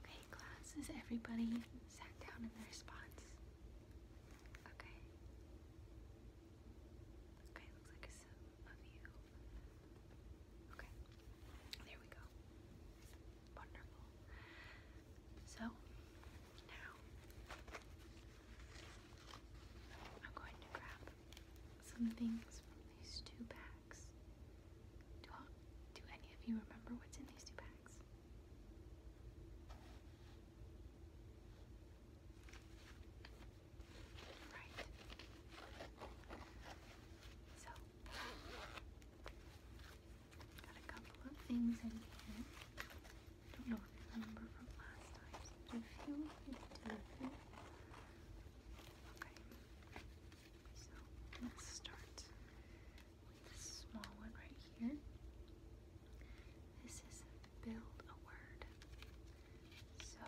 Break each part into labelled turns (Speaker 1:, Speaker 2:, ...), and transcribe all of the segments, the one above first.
Speaker 1: Okay, class, everybody sat down in their spots? Okay. Okay, looks like some of you. Okay, there we go. Wonderful. So, now I'm going to grab some things from these two bags. Do, any of you remember what's in these two bags? Right. So, got a couple of things in here. don't know if I remember from last time. Do you feel? Okay. So let's start with this small one right here. This is build a word. So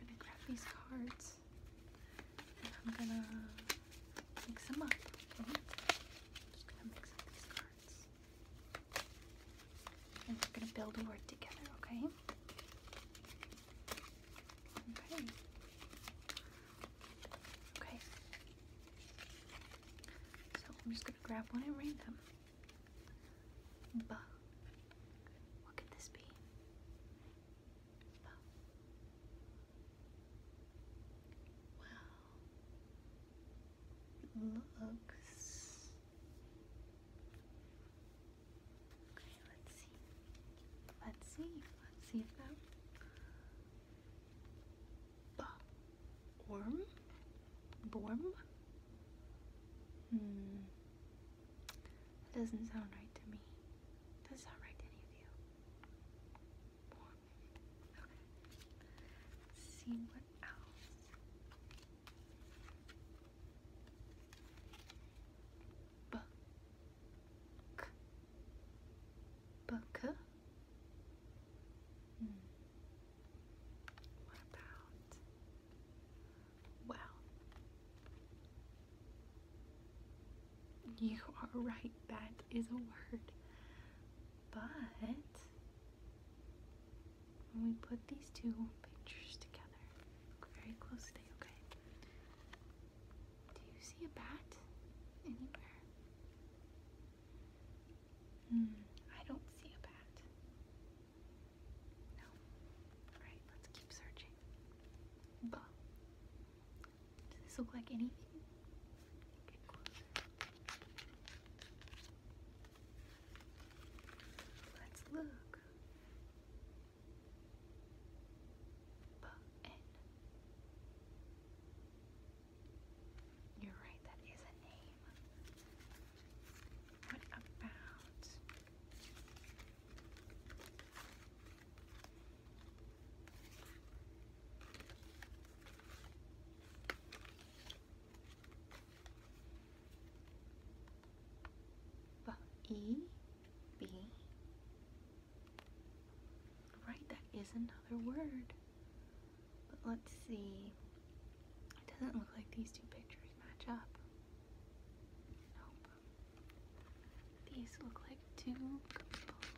Speaker 1: I'm gonna grab these cards and I'm gonna mix them up. I'm gonna build a word together, okay? Okay. Okay. So I'm just gonna grab one at random. Buh. What could this be? Wow. looks let's see. Let's see. Let's see if that Borm? Borm? Hmm. doesn't sound right to me. Doesn't sound right to any of you. Borm. Okay. Let's see what else book hmm. book well you are right that is a word but when we put these two pictures together very closely okay do you see a bat anywhere? Hmm, I don't see a bat. No. Alright, let's keep searching. Buh. Does this look like anything? Let's look. Button. You're right, that is a name. What about but Right, that is another word. But let's see. It doesn't look like these two pictures match up. Nope. These look like two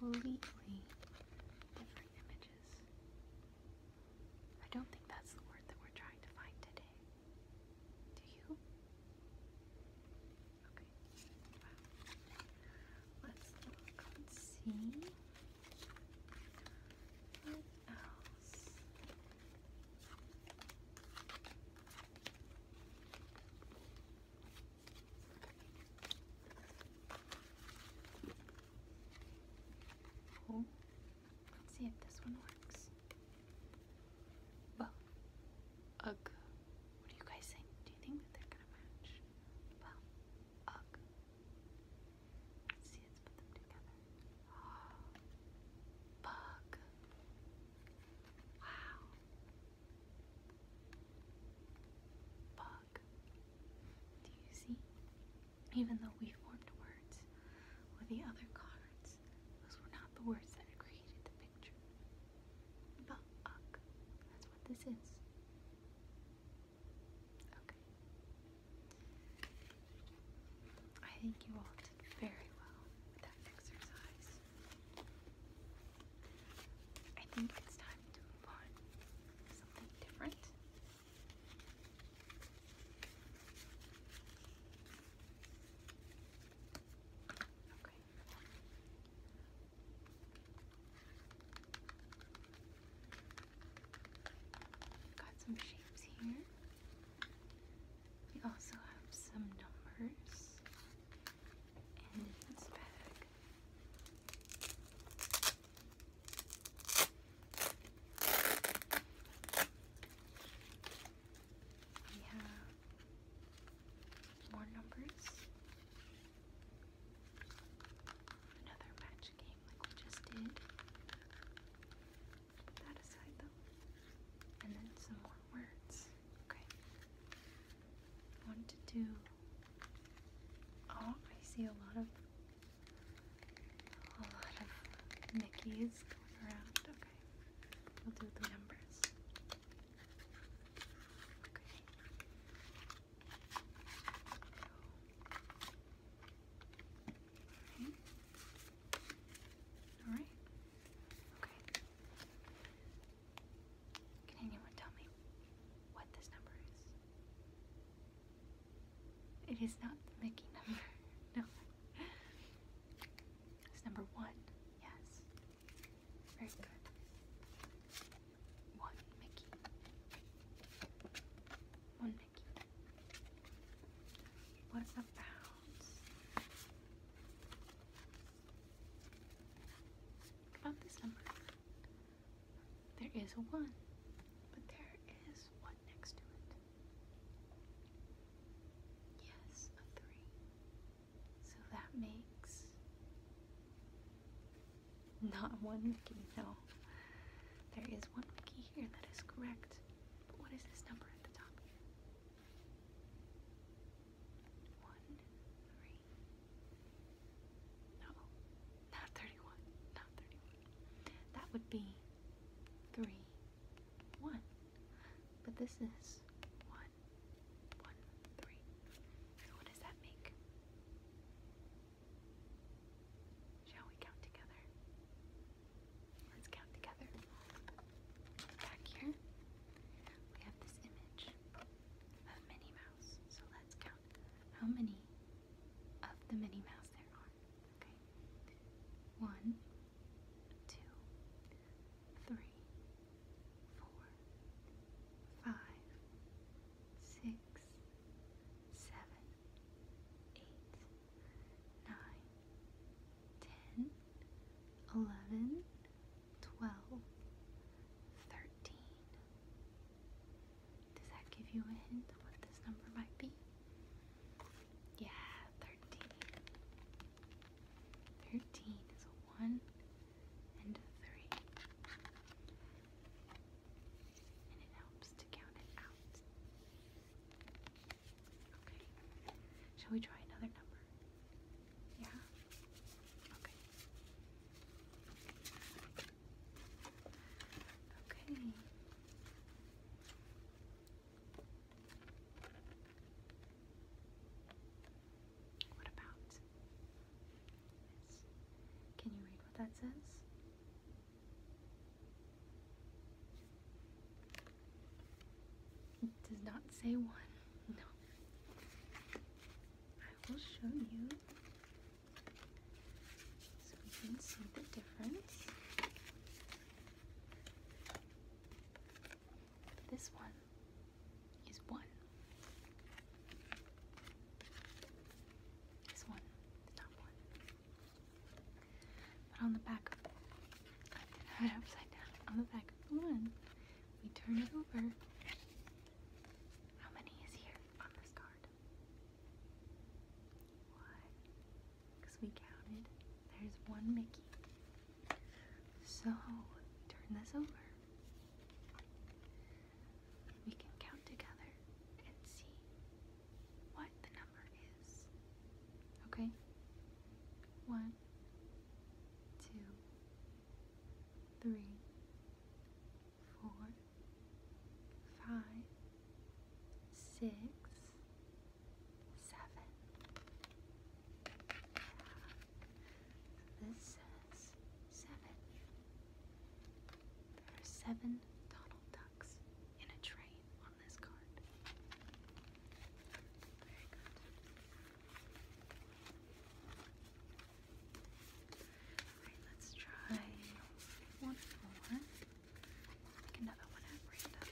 Speaker 1: completely different images. I don't think that's the word that we're trying to find today. Do you? Okay. Let's see what else. let's see if this one works. Well, ugh. What do you guys think? Do you think that they're gonna match? bug. Wow. Bug. Do you see? Even though we formed words with the other cards, those were not the words that created the picture. But That's what this is. Okay. I think you all did very well with that exercise. I think it's time to move on to something different. Got some shapes here. We also have some numbers. in this bag, we have more numbers. Another match game like we just did. Put that aside though. And then some more words. Okay. want to do Oh, I see a lot of a lot of Mickey's going around. We'll do the numbers. Okay. Alright. Okay. Can anyone tell me what this number is? It is not the Mickey number. no. It's number one. Yes. Very good. One Mickey. One Mickey. What about? about this number? There is a one, but there is what next to it? Yes, a three. So that makes not one Mickey, no. There is one Mickey here, that is correct. But what is this number at the top One, three. No, not 31, not 31. That would be three, one. But this is one, one, three. So what does that make? Shall we count together? Let's count together. Back here, we have this image of Minnie Mouse. So let's count how many of the Minnie Mouse there are. Okay. One, two, three, four, five, six, seven, eight, nine, ten, eleven, twelve, thirteen. Does that give you a hint of what this number might be? Yeah, 13. Thirteen is a one and a three. And it helps to count it out. Okay. Shall we try another number? Yeah? Okay. Okay. What about Can you read what that says? does not say one. No. I will show you so we can see the difference. This one is one. This one, the one. But on the back of upside down. On the back of the one, we turn it over. How many is here on this card? One. Because we counted. There's one Mickey. So turn this over. We can count together and see what the number is. Okay? One, two, three, four, five, six, seven. This says seven. There are seven Donald Ducks in a train on this card. Very good. Alright, let's try one more. another one at random.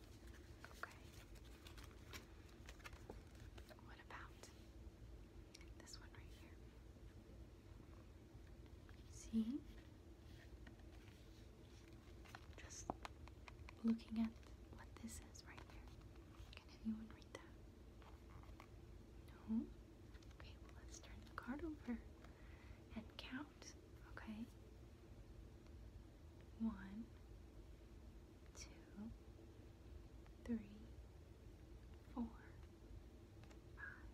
Speaker 1: Okay. What about this one right here? See? Just looking at what this is right here. Can anyone read that? No? Okay, well, let's turn the card over and count okay? One, two, three, four, five.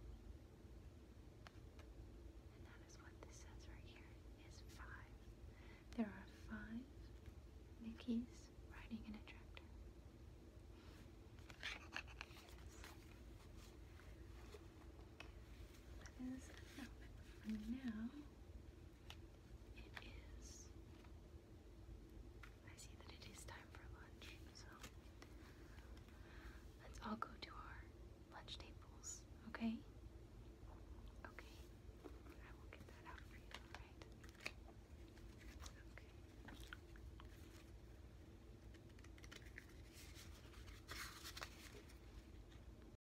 Speaker 1: And that is what this says right here is five. There are five Mickeys riding in a tractor. That is enough for now. It is. I see that it is time for lunch, so let's all go to our lunch tables, okay? Okay. I will get that out for you, alright? Okay.